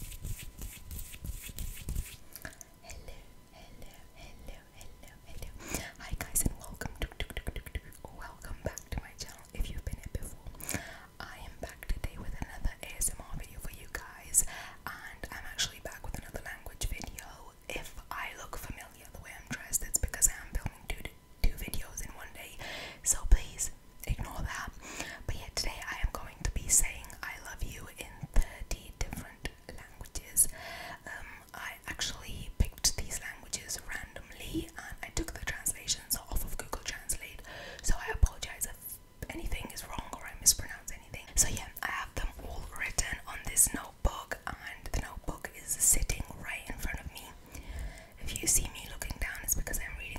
Hello, hello, hello, hello, hello. Hi guys and welcome welcome back to my channel if you've been here before. I am back today with another ASMR video for you guys and I'm actually back with another language video. If I look familiar the way I'm dressed, that's because I am filming two two videos in one day. So please ignore that. But yeah, today I am going to be saying I love you in 30 different languages. Um, I actually picked these languages randomly and I took the translations off of Google Translate. So I apologize if anything is wrong or I mispronounce anything. So yeah, I have them all written on this notebook and the notebook is sitting right in front of me. If you see me looking down, it's because I'm reading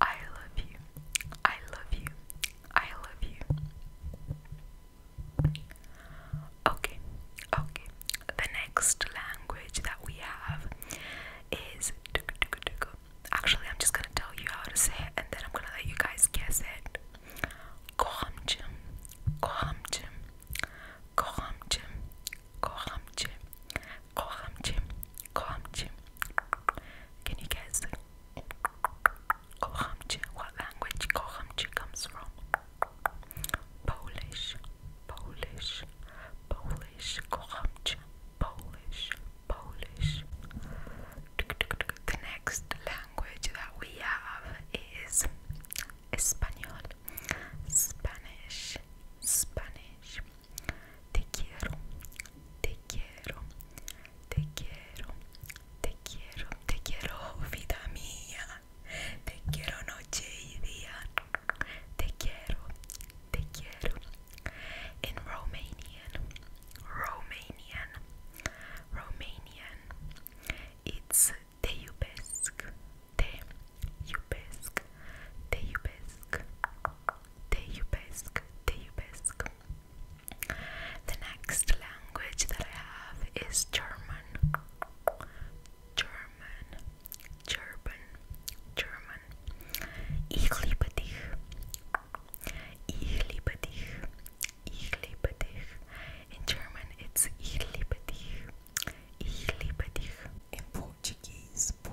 I love you. I love you. I love you. Okay, okay. The next language that we have is actually I'm just gonna tell you how to say it and then I'm gonna let you guys guess it. Kohamchim, Kohamchim, Kohamchim, Kohamchim. Kocham cię, kocham cię. Can you guess? Kocham cię. What language kocham cię comes from? Polish, Polish, Polish. Kocham cię, Polish, Polish. The next language that we have is Spanish, Spanish, Spanish. Te quiero, te quiero, te quiero, te quiero, te quiero, vida mía. Te quiero noche y día. Te quiero, te quiero. In Romanian, Romanian, Romanian. It's te iubesc, te iubesc, te iubesc. Teyubesque, Teyubesque. The next language that I have is German. German, German, German. Ich liebe dich. Ich liebe dich. Ich liebe dich. In German, it's ich liebe dich. Ich liebe dich. In Portuguese.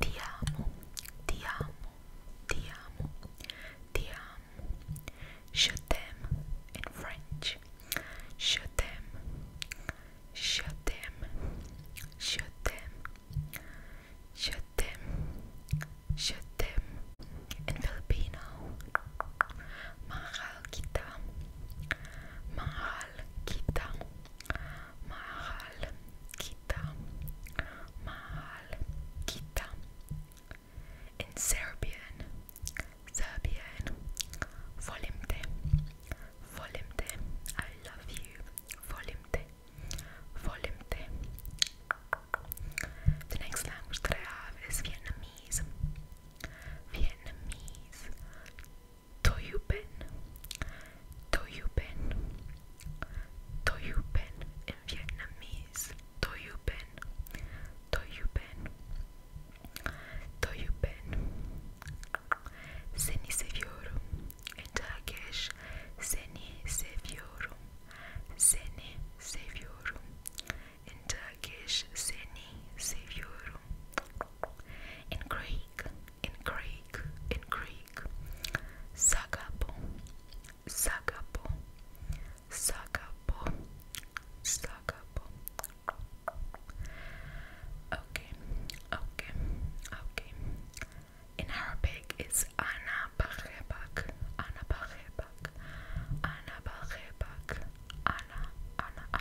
Ti amo, ti amo, ti amo, ti amo. Je t'aime in French. Je t'aime, je t'aime, je t'aime, je t'aime, je t'aime. In Filipino, mahal kita, mahal kita, mahal kita, mahal kita. In Serbian, Serbian, volim te, volim te, I love you, volim te, volim te. The next language I have is Vietnamese. Vietnamese. Toyupen, Toyupen, Toyupen in Vietnamese, Toyupen, Toyupen, Toyupen. Seni seviyorum in Turkish, seni seviyorum, seni seviyorum in Turkish. Turkish seni seviyorum. In Greek, in Greek, in Greek. Sagapo, sagapo, sagapo, sagapo. Okay, okay, okay. In Arabic, it's ana bahrebak, ana bahrebak, ana bahrebak, ana, ana,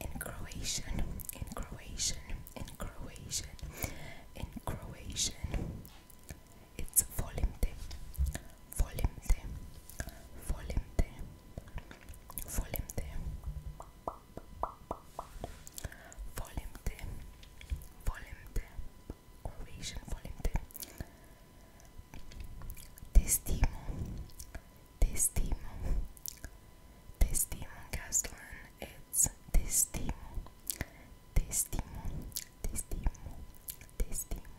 in Croatian, in Croatian, in Croatian, in Croatian. It's volim te, volim te, volim te, volim te, volim te, volim te, Croatian volim te. Te Testimo. Testimo in Catalan. It's testimo. Testimo. Testimo. Testimo.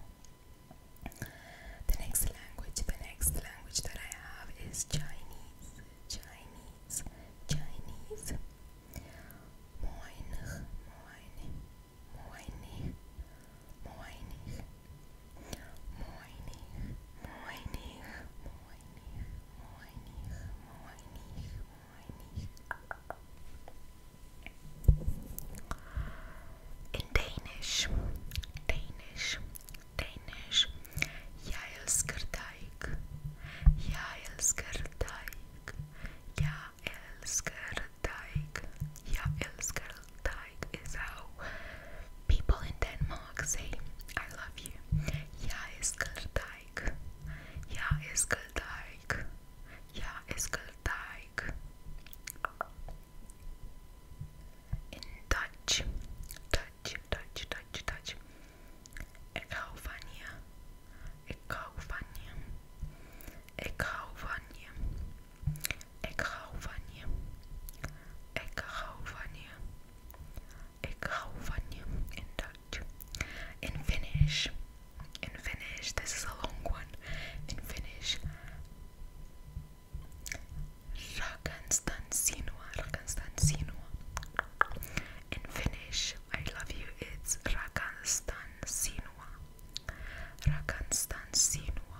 The next language, the next language that I have is Chinese. Chinese. Chinese. Moin. Moin. Moin. Moinig, moinig, moinig, moinig, moinig, moinig, moinig. In Danish, Danish, Danish, jeg elsker dig, jeg elsker dig, jeg elsker dig, jeg elsker dig is how people in Denmark say I love you. Ja elsker Ja elsker Ja elsker In Dutch, Dutch, Dutch, Dutch, Dutch. Ik hou van je. Ik van je. Ik van je. Ik hou van je. Ik hou in Dutch. In Finnish. In Finnish. This is a long one. In Finnish. Rakastan sinua. Rakastan sinua. In Finnish, I love you. It's Rakastan sinua. Rakastan sinua.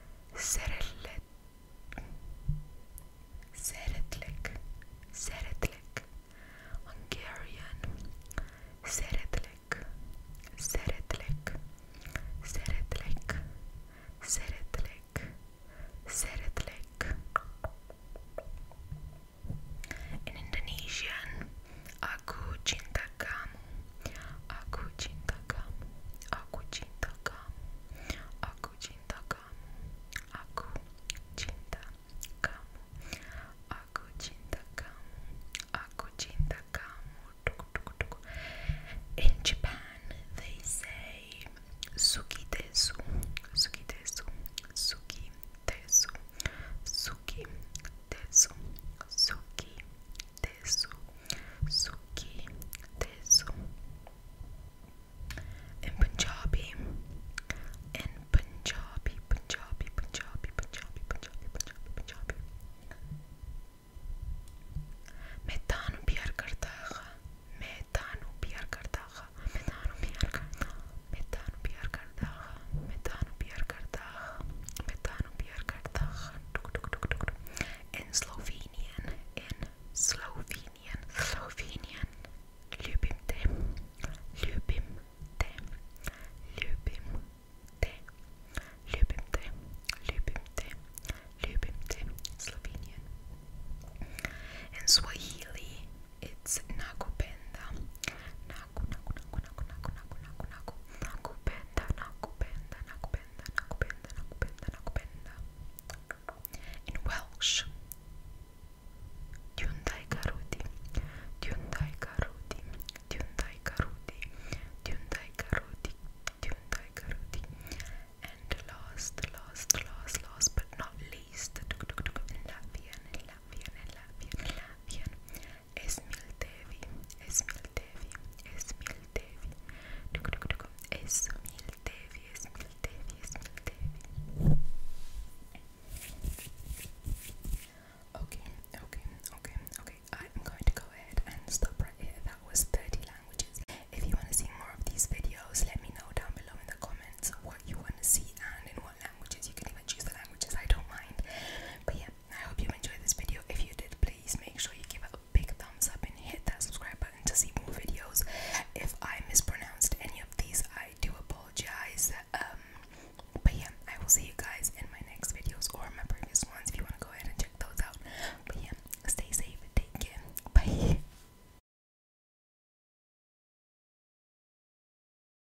سرتلك سرتلك سرتلك Hungarian سرتلك سرتلك سرتلك سرتلك سرتلك In Indonesian Aku cinta kamu. Aku cinta kamu. Aku In Japan, they say suki desu. Suki desu. Suki desu. Suki desu. Suki Tesu, Suki, Tesu. In Punjabi, in Punjabi, Punjabi, Punjabi, Punjabi, Punjabi, Punjabi, Punjabi. मैं तानू प्यार करता हा मैं तानू प्यार करता हा मैं तानू प्यार करता मैं तानू प्यार करता हा मैं तानू प्यार करता हा मैं in Slovenian, in Slovenian, Slovenian, ljubim te, ljubim te, ljubim te, ljubim te, ljubim te, ljubim te, Slovenian. In Swahili, it's nakupenda, naku, naku, naku, naku, naku, naku, naku, Nakupenda, nakupenda, nakupenda, nakupenda, nakupenda, nakupenda. In Welsh, Dyundai Garuti, Dyundai Garuti, Dyundai Garuti, Dyundai Garuti, Dyundai And last, last, last, last but not least, in Latvian, in Latvian, in Latvian, in Latvian, Okay, okay, okay, okay. I'm going to go ahead and stop right here. That was 30 languages. If you want to see more of these videos, let me know down below in the comments what you want to see and in what own languages. You can even choose the languages, I don't mind. But yeah, I hope you enjoyed this video. If you did, please make sure you give a big thumbs up and hit that subscribe button to see more videos. If I mispronounced any of these, I do apologize. Um, but yeah, I will see you guys in my next videos or my previous ones if you want to go ahead and check those out. But yeah, stay safe, take care, bye.